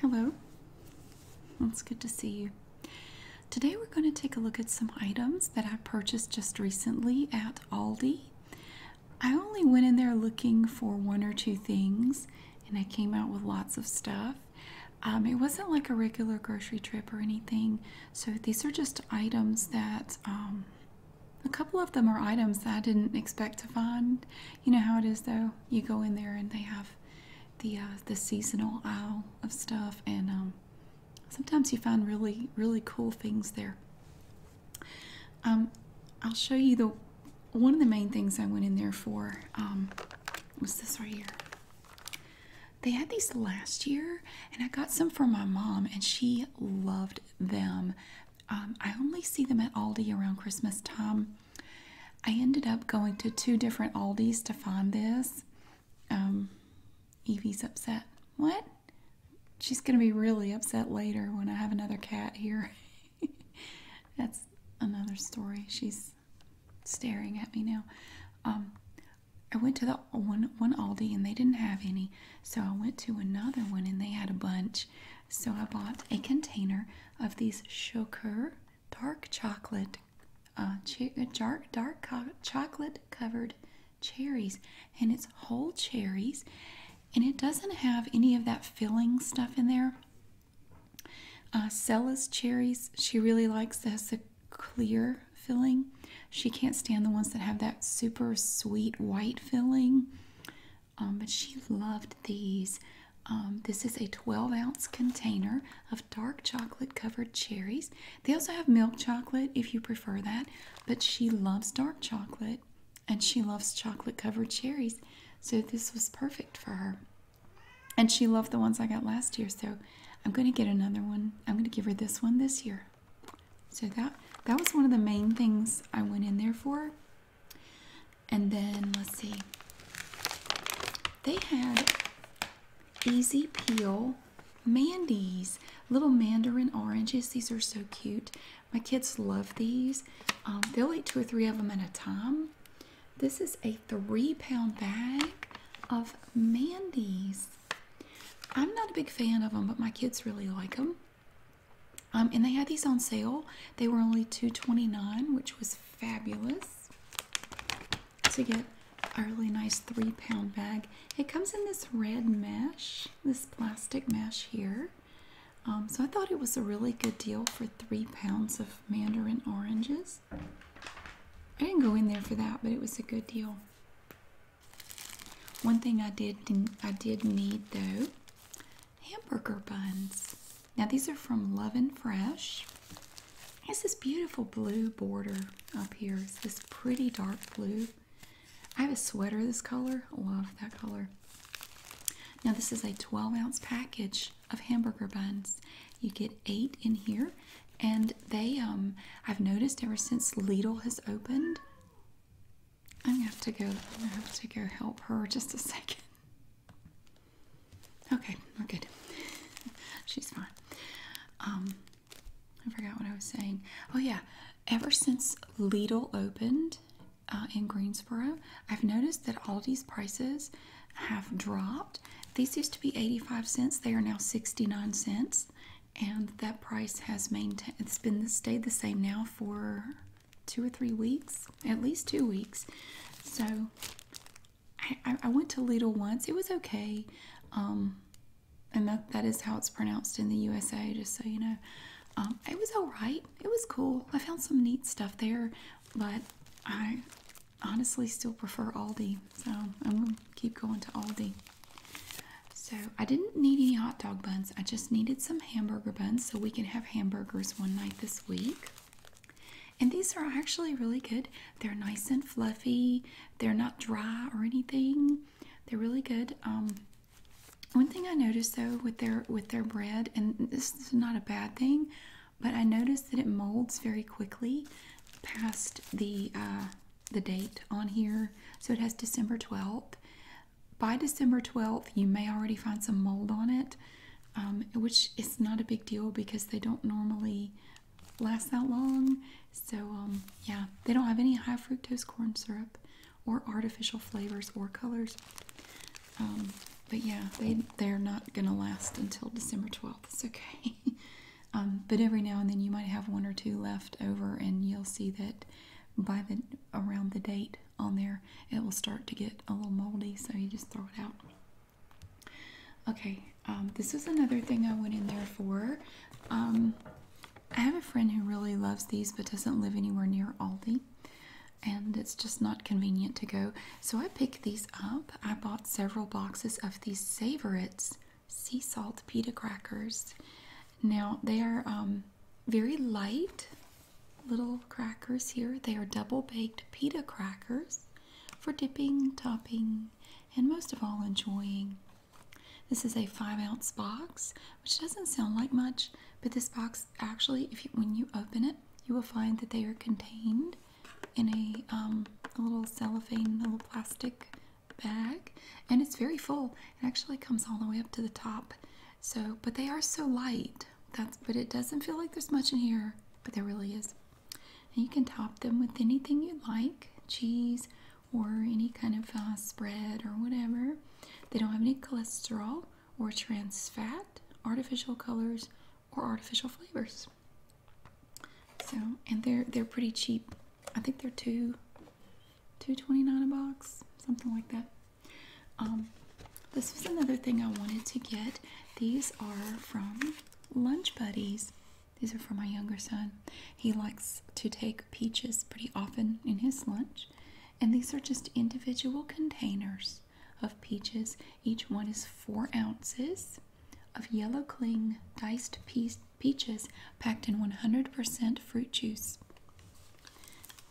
Hello. Well, it's good to see you. Today we're going to take a look at some items that I purchased just recently at Aldi. I only went in there looking for one or two things and I came out with lots of stuff. Um, it wasn't like a regular grocery trip or anything, so these are just items that um, a couple of them are items that I didn't expect to find. You know how it is, though. You go in there and they have the uh, the seasonal aisle of stuff, and um, sometimes you find really really cool things there. Um, I'll show you the one of the main things I went in there for um, was this right here. They had these last year, and I got some for my mom, and she loved them. Um, I only see them at Aldi around Christmas time. I ended up going to two different Aldis to find this. Um, Evie's upset. What? She's going to be really upset later when I have another cat here. That's another story. She's staring at me now. Um, I went to the one one Aldi and they didn't have any. So I went to another one and they had a bunch. So I bought a container of these Choker dark chocolate, uh, uh, dark, dark chocolate covered cherries. And it's whole cherries. And it doesn't have any of that filling stuff in there. Uh, Sella's cherries, she really likes us a clear filling. She can't stand the ones that have that super sweet white filling. Um, but she loved these. Um, this is a 12 ounce container of dark chocolate covered cherries. They also have milk chocolate if you prefer that, but she loves dark chocolate and she loves chocolate covered cherries, so this was perfect for her. And she loved the ones I got last year, so I'm going to get another one. I'm going to give her this one this year. So that that was one of the main things I went in there for. And then let's see. They had Easy Peel Mandy's little mandarin oranges. These are so cute. My kids love these. Um, they'll eat two or three of them at a time. This is a three pound bag of Mandy's. I'm not a big fan of them, but my kids really like them. Um, and they had these on sale. They were only two twenty nine, which was fabulous to get a really nice three pound bag. It comes in this red mesh, this plastic mesh here. Um, so I thought it was a really good deal for three pounds of mandarin oranges. I didn't go in there for that, but it was a good deal. One thing I did I did need though, hamburger buns. Now these are from Love and Fresh. It's this beautiful blue border up here. It's this pretty dark blue. I have a sweater this color. Love that color. Now this is a 12 ounce package of hamburger buns. You get eight in here, and they um I've noticed ever since Lidl has opened, I'm gonna have to go. I'm gonna have to go help her just a second. Okay, we're good. She's fine. Um, I forgot what I was saying. Oh yeah, ever since Lidl opened uh, in Greensboro, I've noticed that Aldi's prices have dropped. These used to be 85 cents. They are now 69 cents, and that price has maintained. It's been stayed the same now for two or three weeks, at least two weeks. So I, I went to Lidl once. It was okay. Um, and that, that is how it's pronounced in the USA, just so you know. Um, it was alright. It was cool. I found some neat stuff there, but I honestly still prefer Aldi. So I'm going to keep going to Aldi. So I didn't need any hot dog buns. I just needed some hamburger buns so we can have hamburgers one night this week. And these are actually really good. They're nice and fluffy. They're not dry or anything. They're really good. Um, one thing I noticed though with their with their bread, and this is not a bad thing, but I noticed that it molds very quickly past the uh, the date on here. So it has December twelfth by December 12th, you may already find some mold on it, um, which is not a big deal because they don't normally last that long. So, um, yeah, they don't have any high fructose corn syrup or artificial flavors or colors. Um, but yeah, they, they're not going to last until December 12th. It's okay. but every now and then you might have one or two left over, and you'll see that by the around the date on there, it will start to get a little moldy, so you just throw it out. Okay, um, this is another thing I went in there for. Um, I have a friend who really loves these but doesn't live anywhere near Aldi, and it's just not convenient to go. So I picked these up. I bought several boxes of these Savorites sea salt pita crackers. Now they are. Um, very light little crackers here. They are double baked pita crackers for dipping, topping, and most of all, enjoying. This is a five ounce box, which doesn't sound like much, but this box actually, if when you open it, you will find that they are contained in a, um, a little cellophane, little plastic bag, and it's very full. It actually comes all the way up to the top. So, but they are so light. That's but it doesn't feel like there's much in here, but there really is. And you can top them with anything you like, cheese or any kind of uh, spread or whatever. They don't have any cholesterol or trans fat, artificial colors, or artificial flavors. So, and they're they're pretty cheap. I think they're two 229 a box, something like that. Um, this was another thing I wanted to get. These are from Lunch Buddies. These are for my younger son. He likes to take peaches pretty often in his lunch. And these are just individual containers of peaches. Each one is four ounces of yellow cling diced pe peaches packed in 100% fruit juice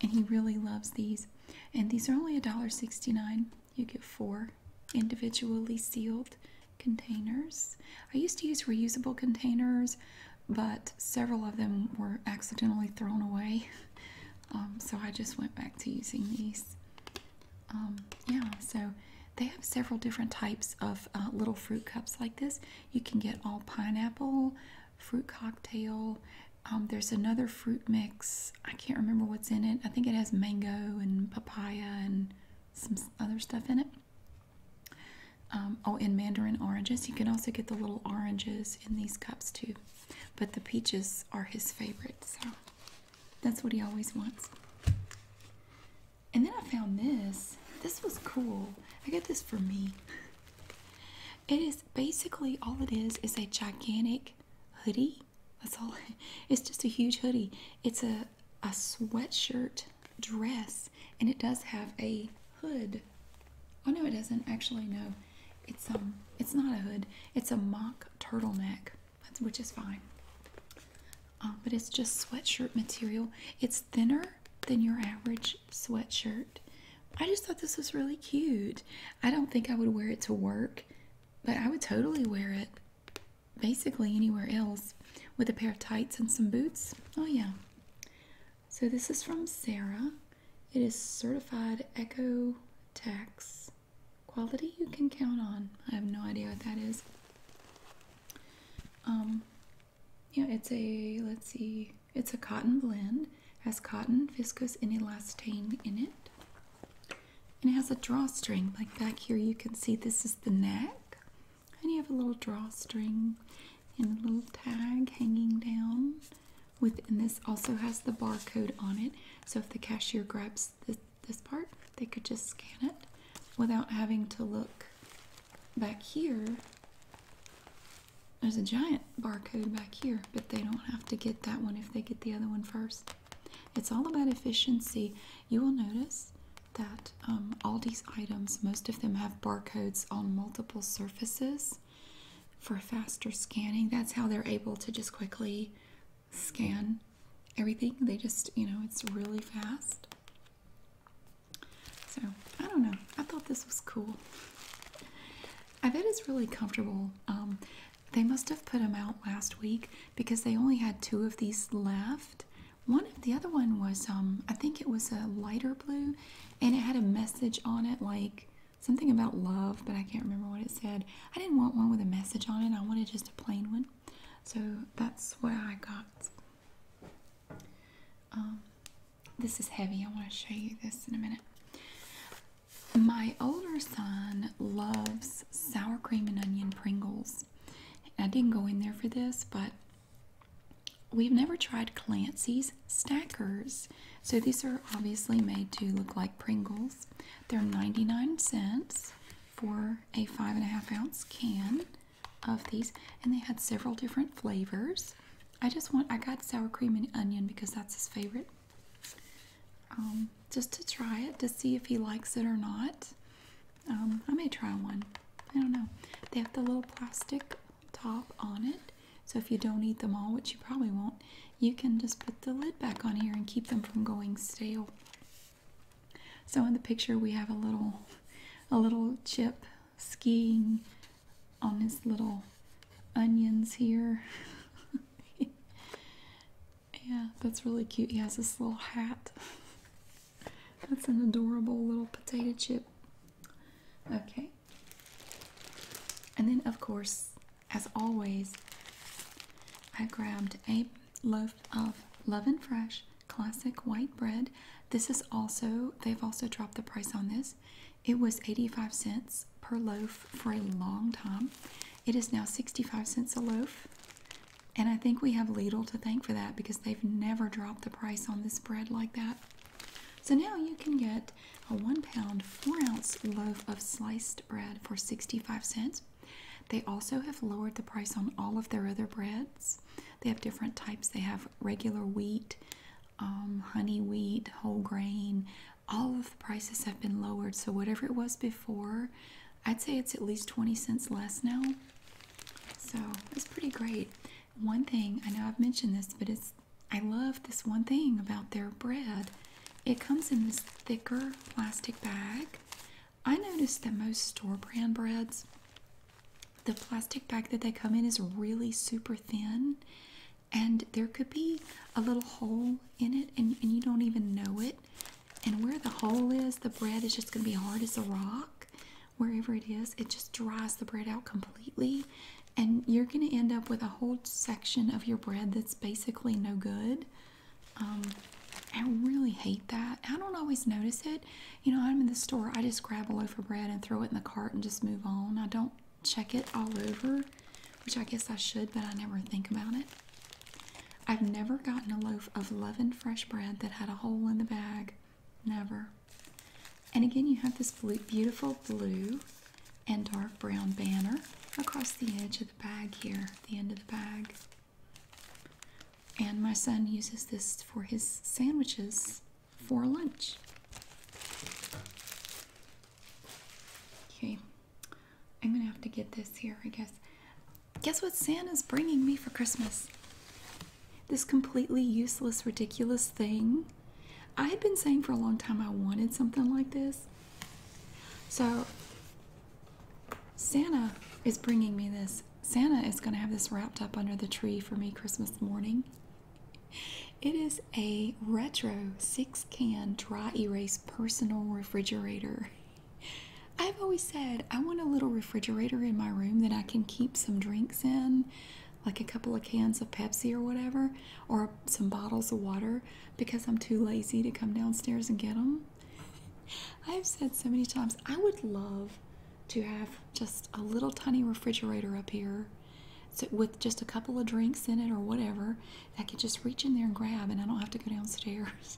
and he really loves these. And these are only $1.69. You get four individually sealed containers. I used to use reusable containers, but several of them were accidentally thrown away. Um, so I just went back to using these. Um, yeah, so they have several different types of uh, little fruit cups like this. You can get all pineapple, fruit cocktail, um, there's another fruit mix. I can't remember what's in it. I think it has mango and papaya and some other stuff in it. Um, oh, and mandarin oranges. You can also get the little oranges in these cups too. But the peaches are his favorite, so that's what he always wants. And then I found this. This was cool. I got this for me. It is basically all it is is a gigantic hoodie. That's all. It's just a huge hoodie. It's a a sweatshirt dress, and it does have a hood. Oh no, it doesn't. Actually, no. It's um, it's not a hood. It's a mock turtleneck, which is fine. Um, but it's just sweatshirt material. It's thinner than your average sweatshirt. I just thought this was really cute. I don't think I would wear it to work, but I would totally wear it basically anywhere else with a pair of tights and some boots. Oh, yeah. So this is from Sarah. It is certified eco Tax quality you can count on. I have no idea what that is. Um, yeah, it's a let's see, it's a cotton blend, has cotton, viscose, and elastane in it. And it has a drawstring. Like back here, you can see this is the neck. And you have a little drawstring and a little tag hanging down. With, and this also has the barcode on it. So if the cashier grabs this, this part, they could just scan it without having to look back here there's a giant barcode back here, but they don't have to get that one if they get the other one first. It's all about efficiency. You will notice that um, all these items, most of them have barcodes on multiple surfaces for faster scanning. That's how they're able to just quickly scan everything. They just, you know, it's really fast. So, I don't know. I thought this was cool. I bet it's really comfortable. Um, they must have put them out last week because they only had two of these left. One of the other one was, um, I think it was a lighter blue, and it had a message on it like something about love, but I can't remember what it said. I didn't want one with a message on it. I wanted just a plain one, so that's what I got. Um, this is heavy. I want to show you this in a minute. My older son loves sour cream and onion Pringles. I didn't go in there for this, but we've never tried Clancy's Stackers. So these are obviously made to look like Pringles. They're 99 cents for a five and a half ounce can of these, and they had several different flavors. I just want, I got sour cream and onion because that's his favorite. Um, just to try it to see if he likes it or not. Um, I may try one. I don't know. They have the little plastic top on it. So if you don't eat them all, which you probably won't, you can just put the lid back on here and keep them from going stale. So in the picture we have a little a little chip skiing on his little onions here. yeah, that's really cute. He has this little hat. that's an adorable little potato chip. Okay. And then, of course, as always, I grabbed a loaf of Love and Fresh classic white bread. This is also, they've also dropped the price on this. It was 85 cents per loaf for a long time. It is now 65 cents a loaf. And I think we have Lidl to thank for that because they've never dropped the price on this bread like that. So now you can get a one pound, four ounce loaf of sliced bread for 65 cents. They also have lowered the price on all of their other breads. They have different types. They have regular wheat, um, honey wheat, whole grain, all of the prices have been lowered. So whatever it was before, I'd say it's at least 20 cents less now. So it's pretty great. One thing, I know I've mentioned this, but it's I love this one thing about their bread. It comes in this thicker plastic bag. I noticed that most store brand breads, the plastic bag that they come in is really super thin and there could be a little hole in it and, you don't even know it and where the hole is the bread is just going to be hard as a rock wherever it is it just dries the bread out completely and you're going to end up with a whole section of your bread that's basically no good um, i really hate that i don't always notice it you know i'm in the store i just grab a loaf of bread and throw it in the cart and just move on i don't check it all over, which I guess I should, but I never think about it. I've never gotten a loaf of leavened fresh bread that had a hole in the bag. Never. And again, you have this beautiful blue and dark brown banner across the edge of the bag here, the end of the bag. And my son uses this for his sandwiches for lunch. Okay, I'm gonna have to get this here, I guess. Guess what Santa's bringing me for Christmas? This completely useless, ridiculous thing. I had been saying for a long time I wanted something like this. So, Santa is bringing me this. Santa is going to have this wrapped up under the tree for me Christmas morning. It is a retro six can dry erase personal refrigerator. I've always said I want a little refrigerator in my room that I can keep some drinks in, like a couple of cans of Pepsi or whatever, or some bottles of water because I'm too lazy to come downstairs and get them. I've said so many times I would love to have just a little tiny refrigerator up here so with just a couple of drinks in it or whatever i can just reach in there and grab and i don't have to go downstairs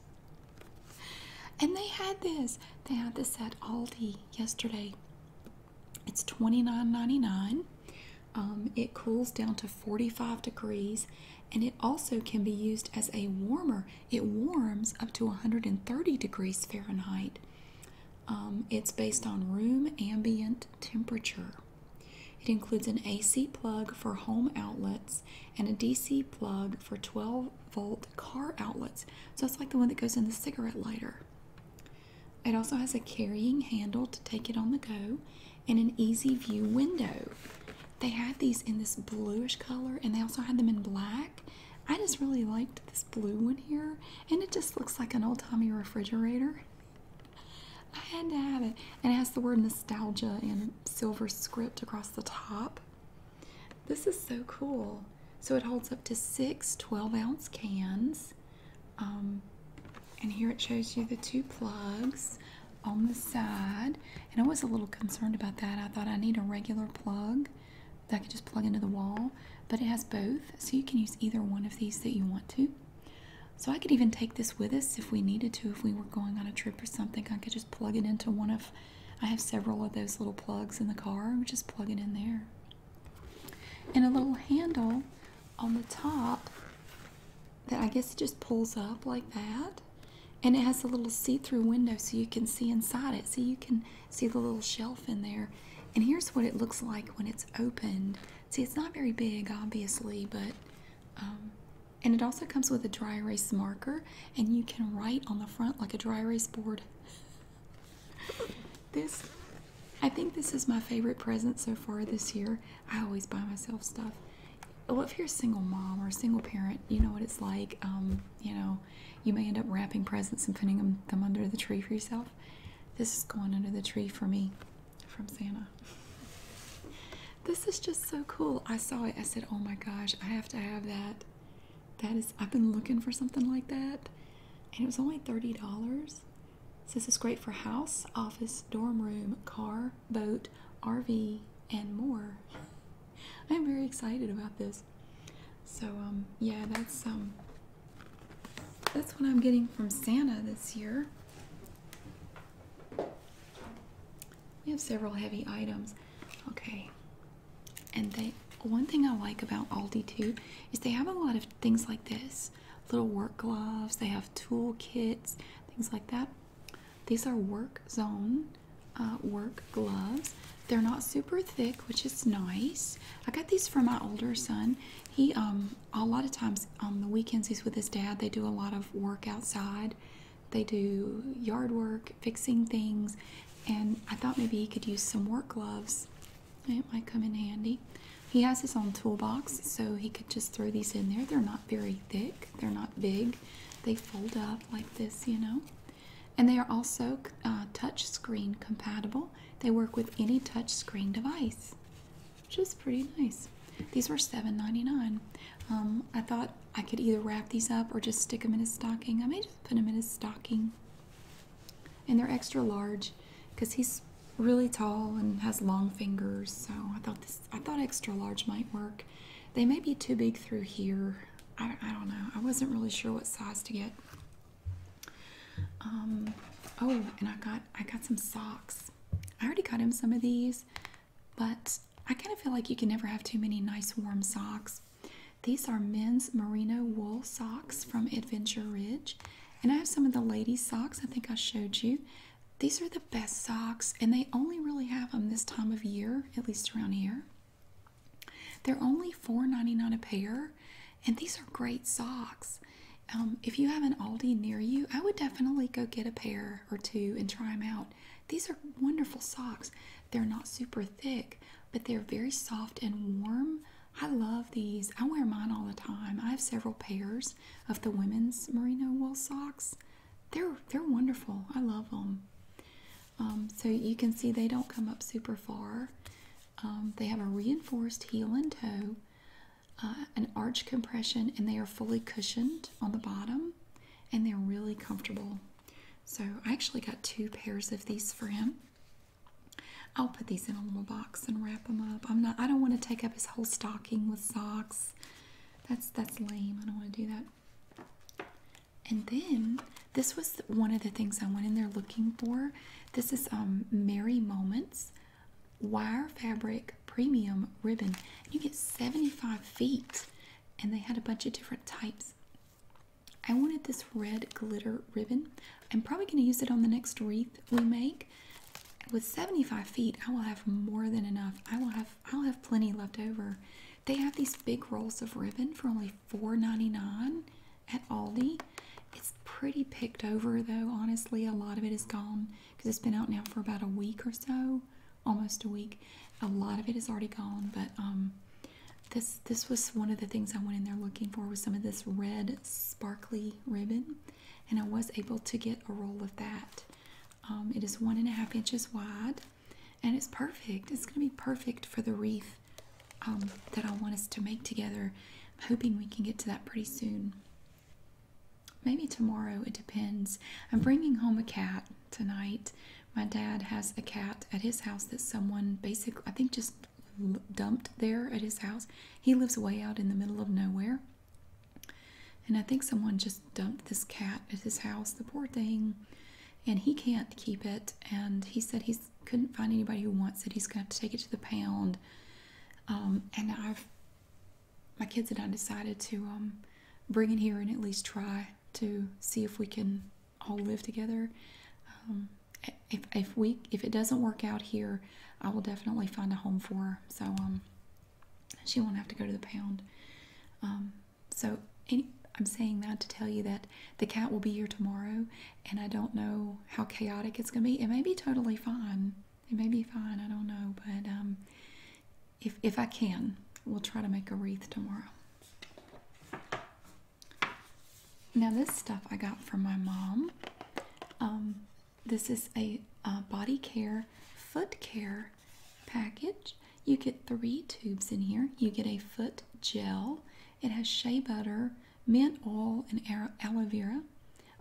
and they had this they had this at aldi yesterday it's twenty nine ninety nine. Um, it cools down to 45 degrees and it also can be used as a warmer it warms up to 130 degrees fahrenheit um, it's based on room ambient temperature it includes an AC plug for home outlets and a DC plug for 12 volt car outlets. So it's like the one that goes in the cigarette lighter. It also has a carrying handle to take it on the go and an easy view window. They had these in this bluish color and they also had them in black. I just really liked this blue one here and it just looks like an old-timey refrigerator. I had to have it. And it has the word nostalgia in silver script across the top. This is so cool. So it holds up to six 12 ounce cans. Um, and here it shows you the two plugs on the side. And I was a little concerned about that. I thought I need a regular plug that I could just plug into the wall. But it has both. So you can use either one of these that you want to. So I could even take this with us if we needed to, if we were going on a trip or something. I could just plug it into one of, I have several of those little plugs in the car. Just plug it in there. And a little handle on the top that I guess just pulls up like that. And it has a little see-through window so you can see inside it. So you can see the little shelf in there. And here's what it looks like when it's opened. See, it's not very big, obviously, but um, and it also comes with a dry erase marker, and you can write on the front like a dry erase board. this, I think, this is my favorite present so far this year. I always buy myself stuff. Well, if you're a single mom or a single parent, you know what it's like. Um, you know, you may end up wrapping presents and putting them, them under the tree for yourself. This is going under the tree for me from Santa. this is just so cool. I saw it. I said, "Oh my gosh, I have to have that." That is, I've been looking for something like that, and it was only thirty dollars. Says it's great for house, office, dorm room, car, boat, RV, and more. I'm very excited about this. So um, yeah, that's um, that's what I'm getting from Santa this year. We have several heavy items. Okay. And they one thing I like about Aldi too is they have a lot of things like this. Little work gloves, they have tool kits, things like that. These are work zone uh, work gloves. They're not super thick, which is nice. I got these for my older son. He um a lot of times on um, the weekends he's with his dad. They do a lot of work outside. They do yard work, fixing things, and I thought maybe he could use some work gloves. It might come in handy. He has his own toolbox, so he could just throw these in there. They're not very thick. They're not big. They fold up like this, you know. And they are also uh, touch screen compatible. They work with any touch screen device which is pretty nice. These were $7.99. Um, I thought I could either wrap these up or just stick them in a stocking. I may just put them in a stocking. And they're extra large because he's really tall and has long fingers. So I thought this, I thought extra large might work. They may be too big through here. I, don't know. I wasn't really sure what size to get. Um, oh, and I got I got some socks. I already got him some of these, but I kind of feel like you can never have too many nice warm socks. These are men's merino wool socks from Adventure Ridge, and I have some of the ladies' socks I think I showed you. These are the best socks, and they only really have them this time of year, at least around here. They're only $4.99 a pair, and these are great socks. Um, if you have an Aldi near you, I would definitely go get a pair or two and try them out. These are wonderful socks. They're not super thick, but they're very soft and warm. I love these. I wear mine all the time. I have several pairs of the women's merino wool socks. They're they're wonderful. I love them. Um, so you can see they don't come up super far. Um, they have a reinforced heel and toe. Uh, an arch compression, and they are fully cushioned on the bottom and they're really comfortable. So, I actually got two pairs of these for him. I'll put these in a little box and wrap them up. I'm not I don't want to take up his whole stocking with socks. That's that's lame. I don't want to do that. And then this was one of the things I went in there looking for. This is um Merry Moments wire fabric premium ribbon. You get 75 feet, and they had a bunch of different types. I wanted this red glitter ribbon. I'm probably going to use it on the next wreath we make. With 75 feet, I will have more than enough. I will have I'll have plenty left over. They have these big rolls of ribbon for only $4.99 at Aldi. It's pretty picked over though, honestly. A lot of it is gone because it's been out now for about a week or so, almost a week. A lot of it is already gone, but um, this this was one of the things I went in there looking for was some of this red sparkly ribbon, and I was able to get a roll of that. Um, it is one and a half inches wide, and it's perfect. It's going to be perfect for the wreath um, that I want us to make together. I'm hoping we can get to that pretty soon. Maybe tomorrow, it depends. I'm bringing home a cat tonight. My dad has a cat at his house that someone basically, I think, just dumped there at his house. He lives way out in the middle of nowhere. And I think someone just dumped this cat at his house, the poor thing. And he can't keep it. And he said he couldn't find anybody who wants it. He's going to have to take it to the pound. Um, and I've my kids and I decided to um, bring it here and at least try to see if we can all live together. Um, if if we if it doesn't work out here, I will definitely find a home for her. So um, she won't have to go to the pound. so I'm saying that to tell you that the cat will be here tomorrow, and I don't know how chaotic it's going to be. It may be totally fine. It may be fine. I don't know, but if if I can, we'll try to make a wreath tomorrow. Now this stuff I got from my mom. Um, this is a uh, body care, foot care package. You get three tubes in here. You get a foot gel. It has shea butter, mint oil, and aloe vera.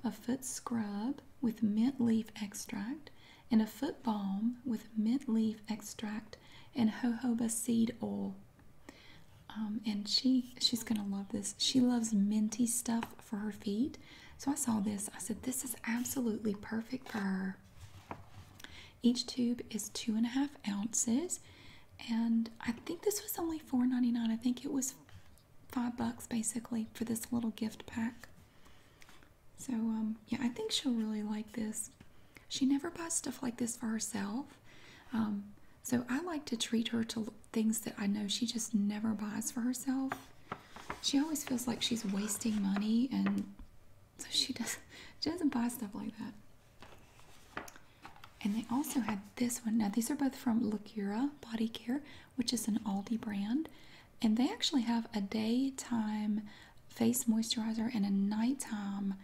A foot scrub with mint leaf extract and a foot balm with mint leaf extract and jojoba seed oil. Um, and she she's gonna love this. She loves minty stuff for her feet. So I saw this. I said this is absolutely perfect for her. Each tube is two and a half ounces, and I think this was only $4.99. I think it was five bucks basically for this little gift pack. So, um, yeah, I think she'll really like this. She never buys stuff like this for herself. Um, so, I like to treat her to things that I know she just never buys for herself. She always feels like she's wasting money, and so she, does, not she doesn't buy stuff like that. And they also had this one. Now, these are both from Lacura Body Care, which is an Aldi brand and they actually have a daytime face moisturizer and a nighttime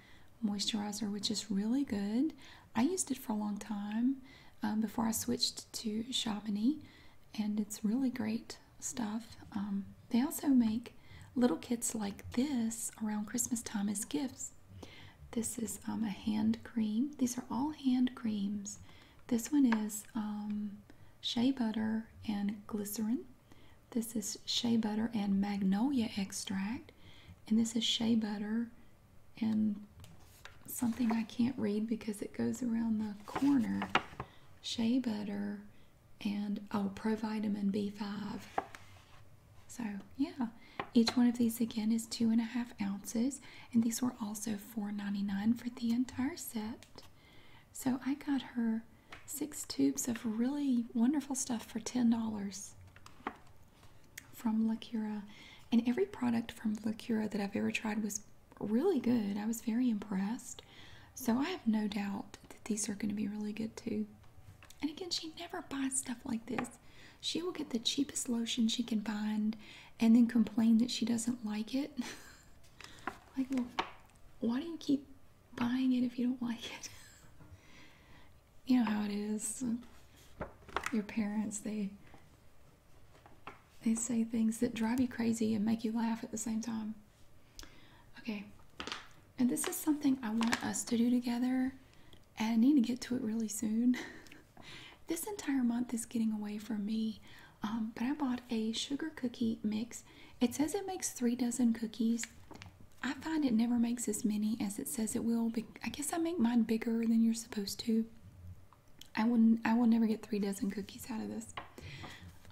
moisturizer, which is really good. I used it for a long time um, before I switched to Chamonix, and it's really great stuff. Um, they also make little kits like this around Christmas time as gifts. This is um, a hand cream. These are all hand creams. This one is shea butter, and glycerin. This is shea butter and magnolia extract. And this is shea butter and something I can't read because it goes around the corner. Shea butter and oh, provitamin B5. So, yeah. Each one of these again is two and a half ounces, and these were also $4.99 for the entire set. So I got her six tubes of really wonderful stuff for $10 from La Cura. And every product from La Cura that I've ever tried was really good. I was very impressed. So I have no doubt that these are going to be really good too. And again, she never buys stuff like this. She will get the cheapest lotion she can find and then complain that she doesn't like it. like, why do you keep buying it if you don't like it? you know how it is. Your parents, they they say things that drive you crazy and make you laugh at the same time. Okay. And this is something I want us to do together, and I need to get to it really soon. this entire month is getting away from me, um, but I bought a sugar cookie mix it says it makes three dozen cookies. I find it never makes as many as it says it will. I guess I make mine bigger than you're supposed to. I will I will never get three dozen cookies out of this.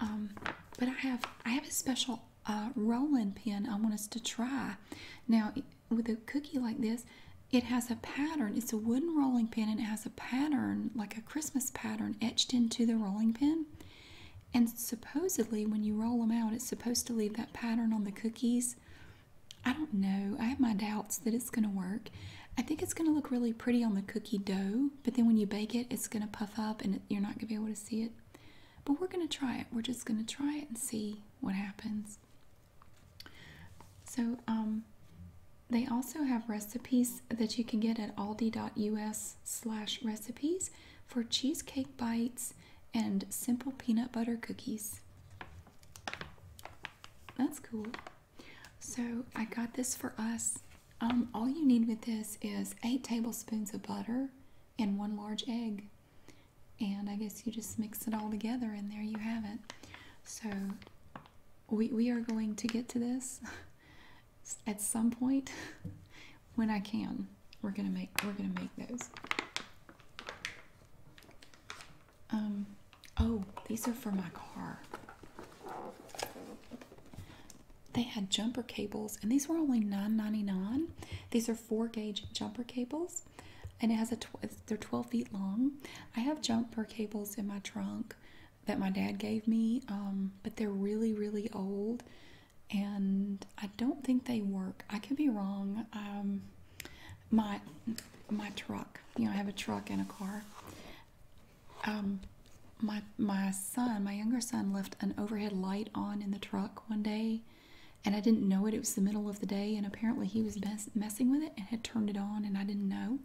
Um, but I have I have a special uh, rolling pin I want us to try. Now with a cookie like this, it has a pattern. It's a wooden rolling pin and it has a pattern like a Christmas pattern etched into the rolling pin. And supposedly, when you roll them out, it's supposed to leave that pattern on the cookies. I don't know. I have my doubts that it's going to work. I think it's going to look really pretty on the cookie dough, but then when you bake it, it's going to puff up and you're not going to be able to see it. But we're going to try it. We're just going to try it and see what happens. So, um, they also have recipes that you can get at aldi.us slash recipes for cheesecake bites and simple peanut butter cookies. That's cool. So I got this for us. Um, all you need with this is eight tablespoons of butter and one large egg. And I guess you just mix it all together and there you have it. So we, we are going to get to this at some point when I can. We're gonna make we're gonna make those. Um oh, these are for my car. They had jumper cables, and these were only 9 These are four gauge jumper cables, and it has a tw they're 12 feet long. I have jumper cables in my trunk that my dad gave me, um, but they're really, really old, and I don't think they work. I could be wrong. Um, my my truck, you know, I have a truck and a car. Um, my my son, my younger son, left an overhead light on in the truck one day, and I didn't know it. It was the middle of the day, and apparently he was messing with it and had turned it on, and I didn't know.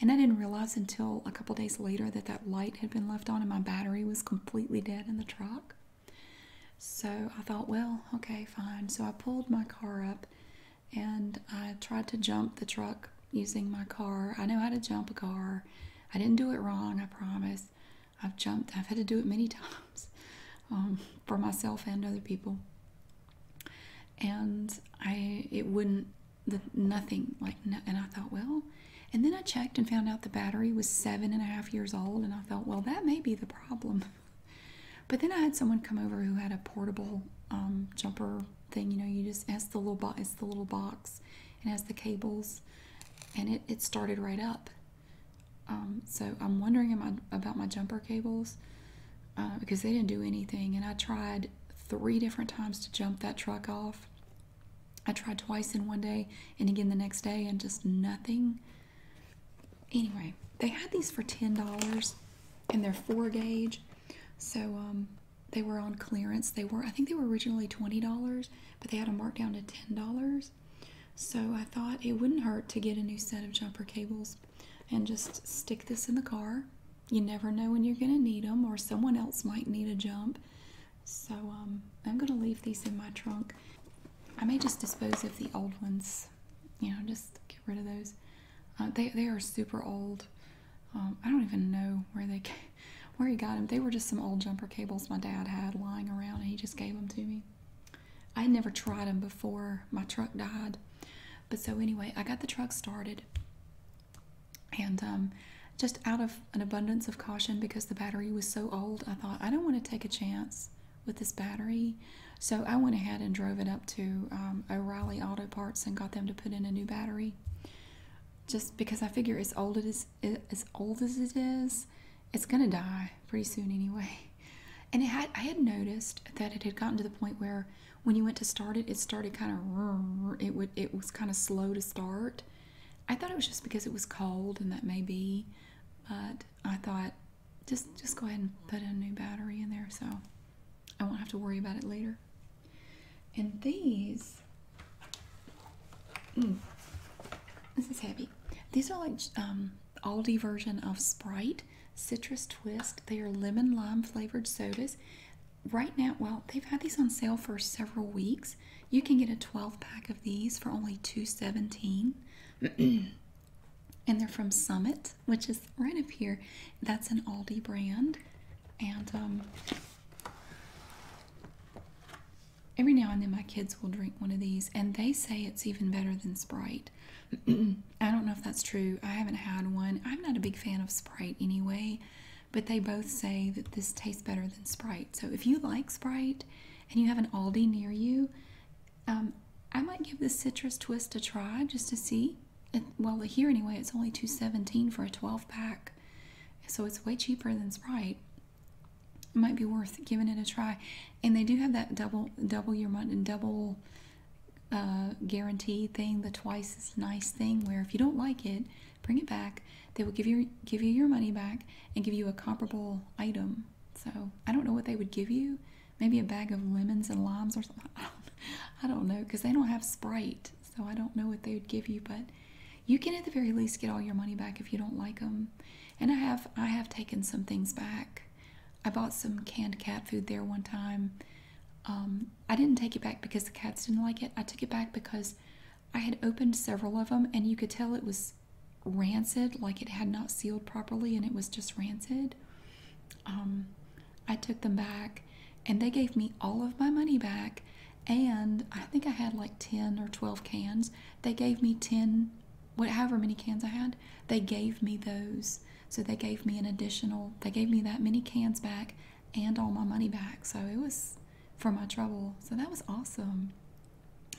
And I didn't realize until a couple days later that that light had been left on and my battery was completely dead in the truck. So I thought, well, okay, fine. So I pulled my car up and I tried to jump the truck using my car. I know how to jump a car. I didn't do it wrong, I promise. I've jumped, I've had to do it many times um, for myself and other people. And I, it wouldn't the nothing like and I thought well and then I checked and found out the battery was seven and a half years old and I thought well that may be the problem but then I had someone come over who had a portable um, jumper thing you know you just ask the little box it's the little box and has the cables and it, it started right up um, so I'm wondering about my jumper cables uh, because they didn't do anything and I tried three different times to jump that truck off I tried twice in one day and again the next day, and just nothing. Anyway, they had these for $10 and they're four gauge. So um, they were on clearance. They were, I think they were originally $20, but they had a markdown to $10. So I thought it wouldn't hurt to get a new set of jumper cables and just stick this in the car. You never know when you're going to need them, or someone else might need a jump. So um, I'm going to leave these in my trunk. I may just dispose of the old ones. You know, just get rid of those. Uh, they they are super old. Um, I don't even know where they came, where he got them. They were just some old jumper cables my dad had lying around, and he just gave them to me. I had never tried them before my truck died, but so anyway, I got the truck started, and um, just out of an abundance of caution, because the battery was so old, I thought, I don't want to take a chance with this battery. So I went ahead and drove it up to um, O'Reilly Auto Parts and got them to put in a new battery. Just because I figure as old, as it is, it's going to die pretty soon anyway. And I had noticed that it had gotten to the point where when you went to start it, it started kind of, it would, it was kind of slow to start. I thought it was just because it was cold, and that maybe, but I thought just just go ahead and put a new battery in there so I won't have to worry about it later. And these, mm, this is heavy. These are like um, Aldi version of Sprite Citrus Twist. They are lemon lime flavored sodas right now, well, they've had these on sale for several weeks. You can get a 12 pack of these for only two seventeen, and they're from Summit, which is right up here. That's an Aldi brand. And um, every now and then my kids will drink one of these, and they say it's even better than Sprite. I don't know if that's true. I haven't had one. I'm not a big fan of Sprite anyway but they both say that this tastes better than Sprite. So if you like Sprite and you have an Aldi near you, um, I might give this citrus twist a try just to see. well, here anyway, it's only two seventeen for a twelve pack, so it's way cheaper than Sprite. might be worth giving it a try, and they do have that double double your money double uh, guarantee thing, the twice as nice thing, where if you don't like it, bring it back. They will give you give you your money back and give you a comparable item. So I don't know what they would give you. Maybe a bag of lemons and limes or something. I don't know because they don't have Sprite, so I don't know what they would give you. But you can at the very least get all your money back if you don't like them. And I have I have taken some things back. I bought some canned cat food there one time. Um, I didn't take it back because the cats didn't like it. I took it back because I had opened several of them, and you could tell it was rancid, like it had not sealed properly, and it was just rancid. Um, I took them back, and they gave me all of my money back. And I think I had like 10 or 12 cans. They gave me 10, whatever many cans I had, they gave me those. So they gave me an additional, they gave me that many cans back and all my money back. So it was for my trouble. So that was awesome.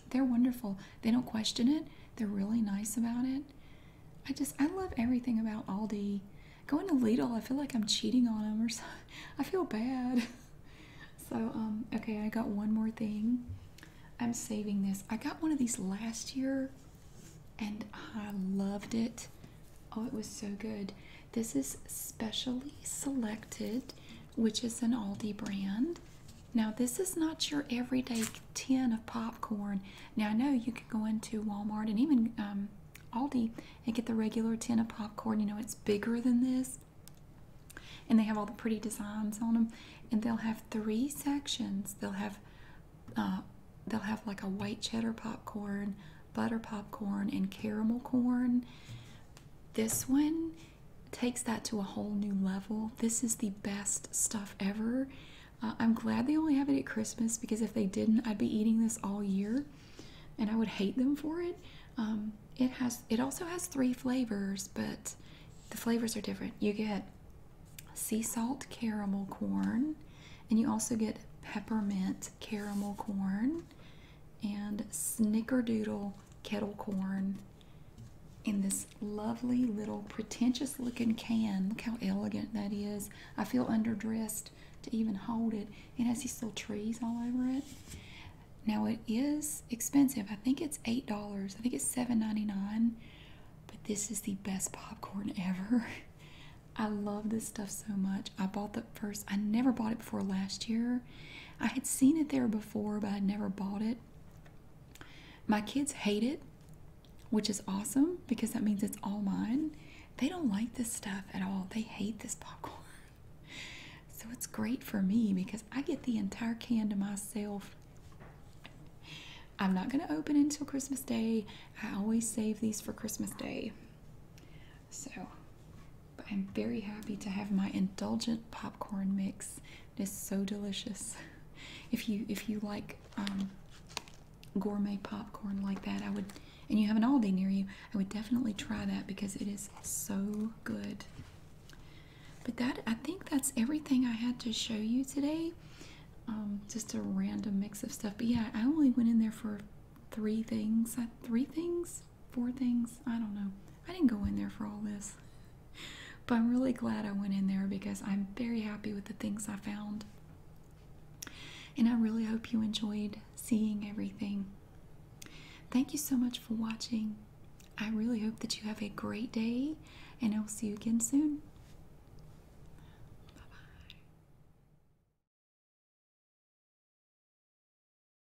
They're wonderful. They don't question it. They're really nice about it. I just I love everything about Aldi. Going to Lidl, I feel like I'm cheating on them or so. I feel bad. So um okay, I got one more thing. I'm saving this. I got one of these last year and I loved it. Oh, it was so good. This is specially selected which is an Aldi brand. Now, this is not your everyday tin of popcorn. Now, I know you can go into Walmart and even um, Aldi and get the regular tin of popcorn. You know, it's bigger than this. And they have all the pretty designs on them. And they'll have three sections. They'll have, uh, they'll have like a white cheddar popcorn, butter popcorn, and caramel corn this one takes that to a whole new level. This is the best stuff ever. Uh, I'm glad they only have it at Christmas because if they didn't, I'd be eating this all year, and I would hate them for it. Um, it has. It also has three flavors, but the flavors are different. You get sea salt caramel corn, and you also get peppermint caramel corn, and snickerdoodle kettle corn in this lovely little pretentious looking can. Look how elegant that is. I feel underdressed to even hold it. It has these little trees all over it. Now it is expensive. I think it's eight dollars. I think it's seven ninety-nine. But this is the best popcorn ever. I love this stuff so much. I bought the first I never bought it before last year I had seen it there before, but I would never bought it. My kids hate it, which is awesome because that means it's all mine. They don't like this stuff at all. They hate this popcorn. So it's great for me because I get the entire can to myself. I'm not going to open it until Christmas Day. I always save these for Christmas Day. So I'm very happy to have my indulgent popcorn mix. It is so delicious. If you if you like um, gourmet popcorn like that, I would and you have an Aldi near you, I would definitely try that because it is so good. But that I think that's everything I had to show you today. Um, just a random mix of stuff. But yeah, I only went in there for three things. Uh, three things four things. I don't know. I didn't go in there for all this. But I'm really glad I went in there because I'm very happy with the things I found. And I really hope you enjoyed seeing everything. Thank you so much for watching. I really hope that you have a great day, and I'll see you again soon. bye.